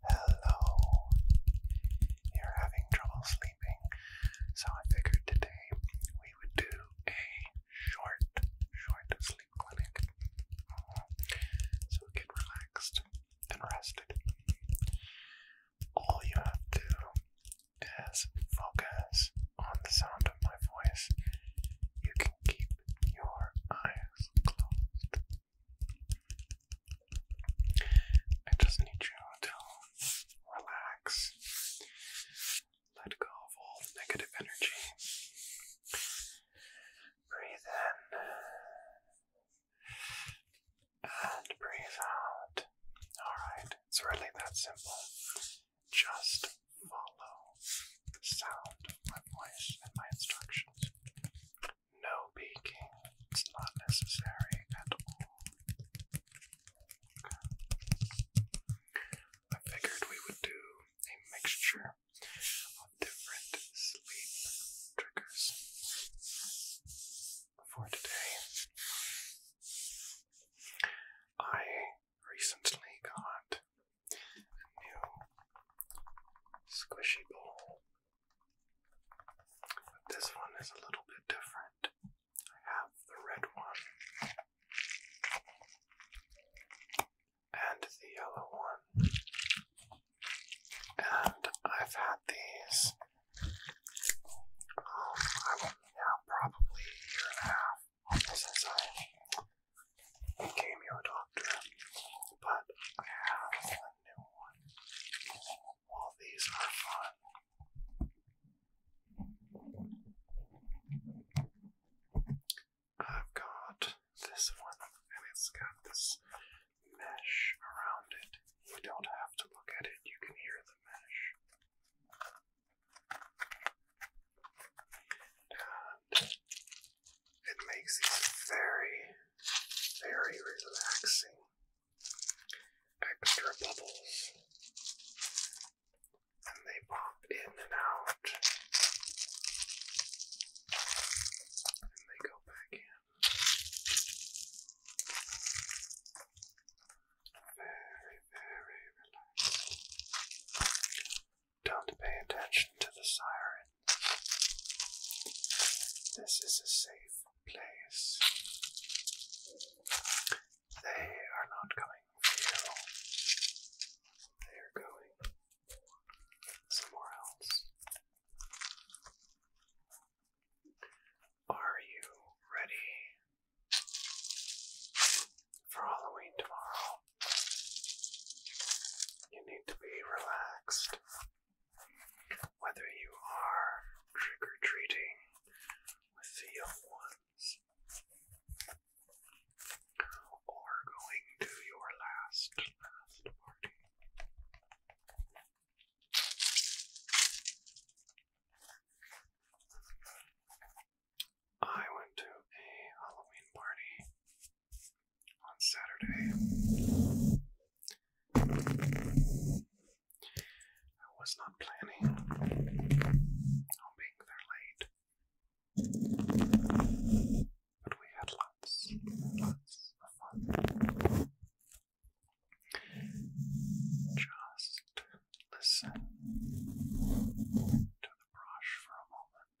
Hello. You're having trouble sleeping, so I figured today we would do a short, short sleep clinic. Mm -hmm. So get relaxed and rested. All you have to do is focus on the sound of my voice. You can keep your eyes closed. I just need you to relax, let go of all negative energy. Breathe in and breathe out. Alright, it's really that simple. Just follow the sound of my voice and my instructions. No peeking, it's not necessary at all. I figured we would do a mixture of different sleep triggers for today. I recently got a new squishy ball. This one is a little bit different. I have the red one and the yellow one, and I've had these. Um, now probably a year and a half since I became your doctor, but I have that these are fun. I've got this one, and it's got this mesh around it. You don't have to look at it, you can hear the mesh. And it makes these very very relaxing. Extra bubbles. And they pop in and out. And they go back in. Very, very relaxing. Don't pay attention to the siren. This is a safe place. They are not coming for They are going somewhere else. Are you ready for Halloween tomorrow? You need to be relaxed. Whether you are trick or treating with the young ones or going to your last, last party. I went to a Halloween party on Saturday. I was not planning on being there late. But we had lots, lots of fun. Just listen to the brush for a moment.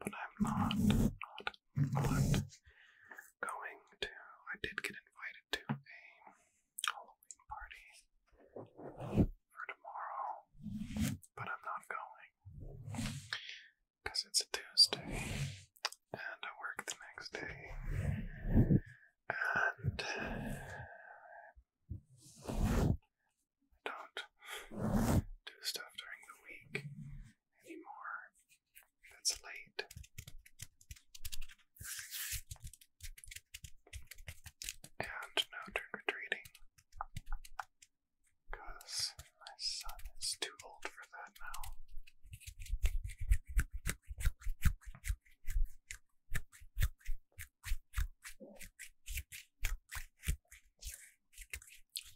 But I'm not, not but going to, I did get invited to a Halloween party for tomorrow, but I'm not going because it's a Tuesday and I work the next day, and I don't do stuff during the week anymore. That's late. And no turn retreating. Because my son is too old for that now.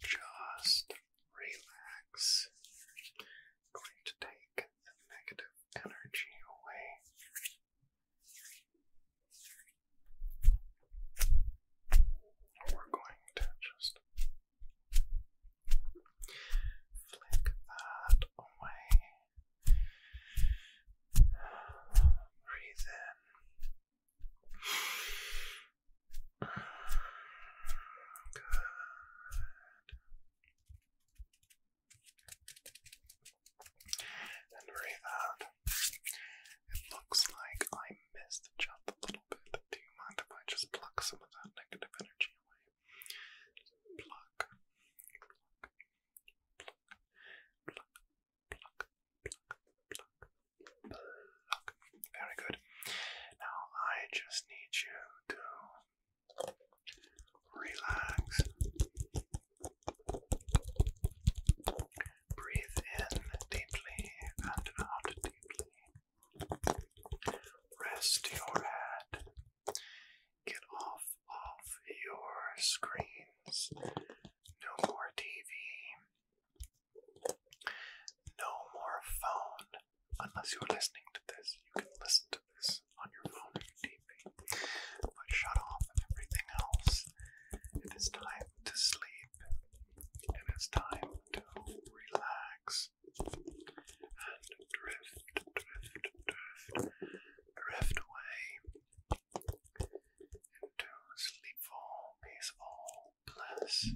Just relax. I'm going to take the negative energy away. We're going to just flick that away. Breathe in. Good. It looks like I missed the jump a little bit. Do you mind if I just pluck some of that negative energy away? Pluck, pluck, pluck, pluck, pluck, pluck, pluck. Very good. Now I just need you to relax. Breathe in deeply and out deeply. Rest your head. Get off of your screens. No more TV. No more phone. Unless you're listening to this, you can listen to this on your phone or TV. But shut off everything else. It is time to sleep. It is time to relax. And drift, drift, drift, drift away to sleepful, peaceful bliss.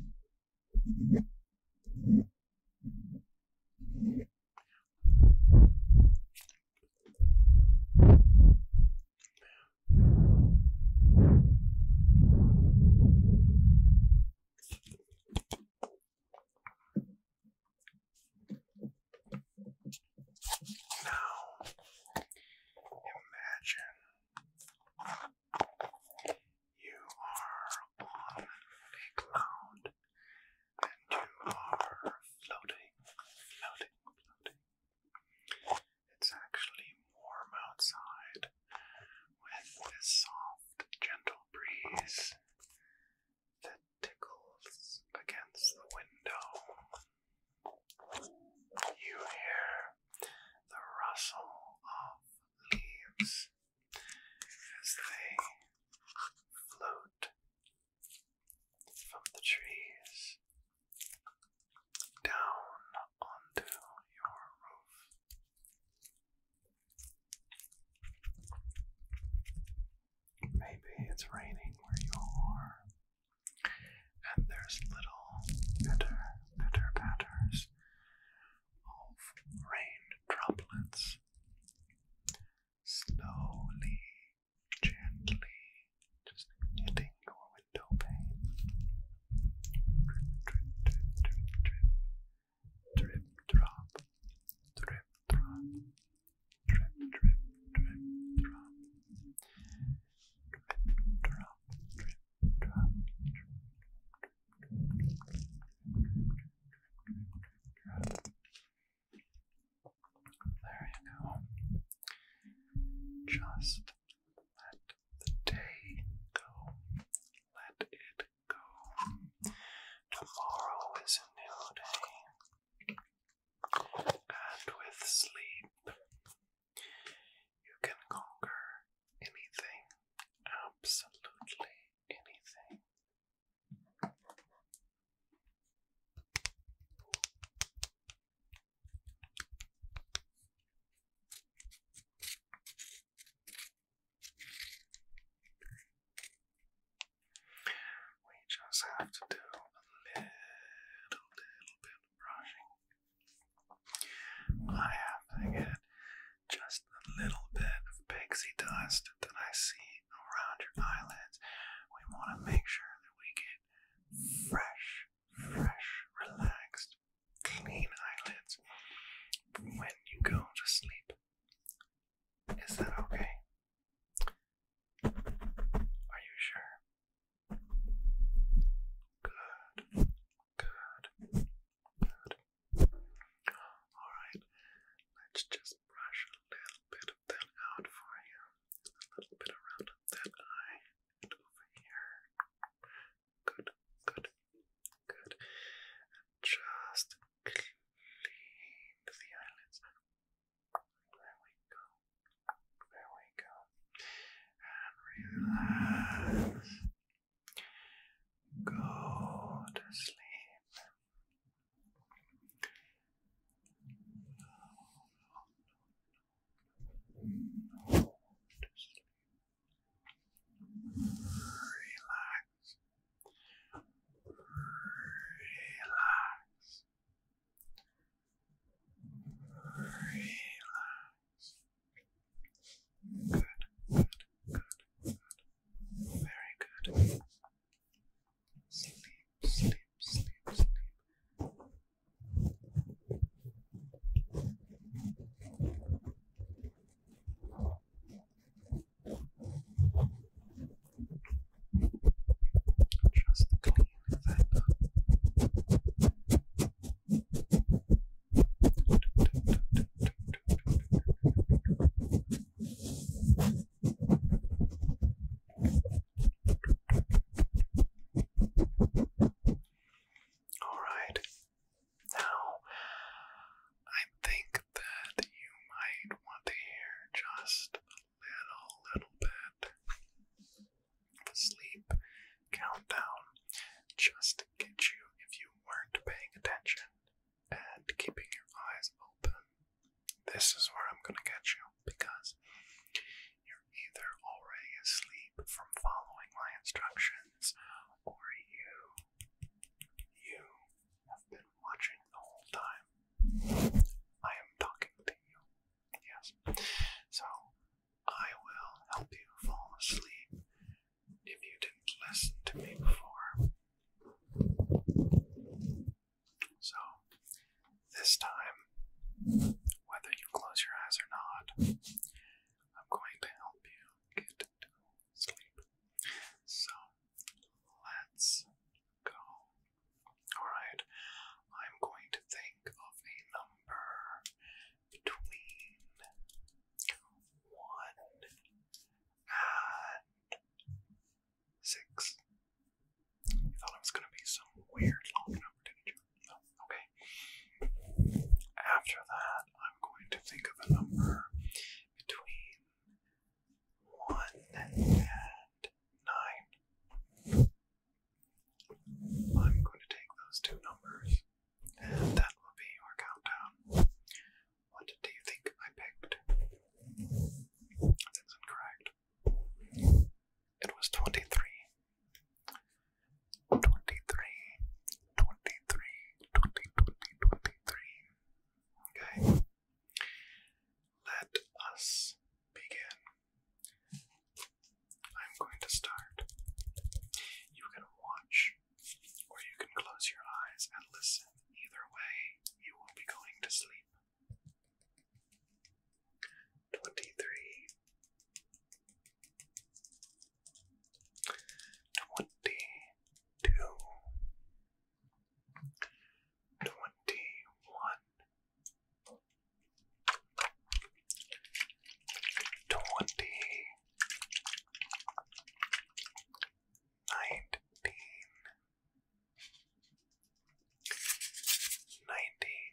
Now, imagine you are on a cloud and you are floating, floating, floating. It's actually warm outside with this soft, gentle breeze that tickles against the window. You hear the rustle of leaves as they float from the trees down onto your roof. Maybe it's raining where you are and there's little pitter, pitter patters of rain droplets slowly, gently just hitting your window pane. Drip, drip, drip, drip, drip, drip, drop, drip, drop, drip, drip, drip, drop, drip, drop, drip, there you go. Just let the day go. Let it go. Tomorrow is a new day. And with sleep you can conquer anything, absolutely anything. We just have to do a little, little bit I have to get just a little bit of pixie dust that I see around your eyelids. We want to make sure that we get fresh, fresh, relaxed, clean eyelids when you go to sleep. Is that okay? Are you sure? Good. Good. Good. Alright. Let's just brush a little bit of that out for you. A little bit around that eye over here. Good, good, good. just clean the eyelids. There we go. There we go. And relax. Go to sleep. Go to sleep. Relax. Relax. Relax. Relax. Good, good, good, Very good. Sleep, sleep, sleep, sleep. Just clean that up. All right. Now, I think that you might want to hear just a little, little bit sleep countdown just to get you if you weren't paying attention and keeping your eyes open. This is where I'm going to get you because you're either already asleep from following my instructions or you you have been watching the whole time. I am talking to you Yes. So I will help you fall asleep if you didn't listen to me before. So this time, whether you close your eyes or not, I'm going to help you get to sleep. So let's go. Alright, I'm going to think of a number number between one and six. You thought it was going to be some weird long number, No. Okay. After that, I'm going to think of a number between one and nine. I'm going to take those two numbers, and that will be your countdown. What do you think I picked? That's incorrect. It was 23. Okay. Let us begin. I'm going to start. You can watch, or you can close your eyes and listen. Either way, you will be going to sleep. 23 twenty nineteen nineteen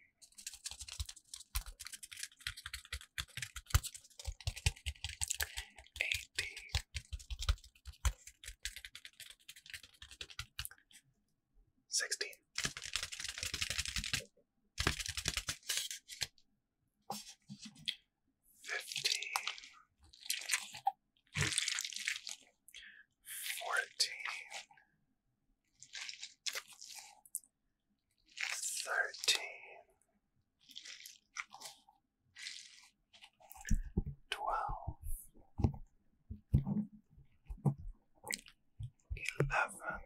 eighteen 16. Fifteen, fourteen, thirteen, twelve, eleven.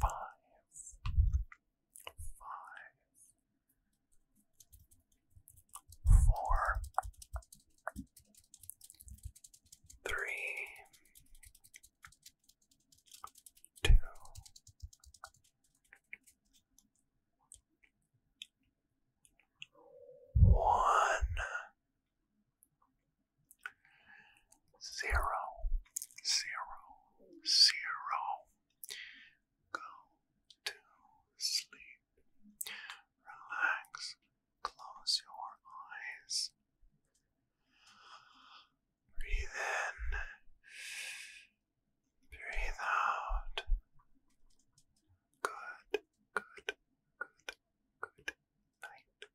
Five. Five. Four. Three. Two. One. Zero, zero, zero. Go to sleep. Relax. Close your eyes. Breathe in. Breathe out. Good, good, good, good night.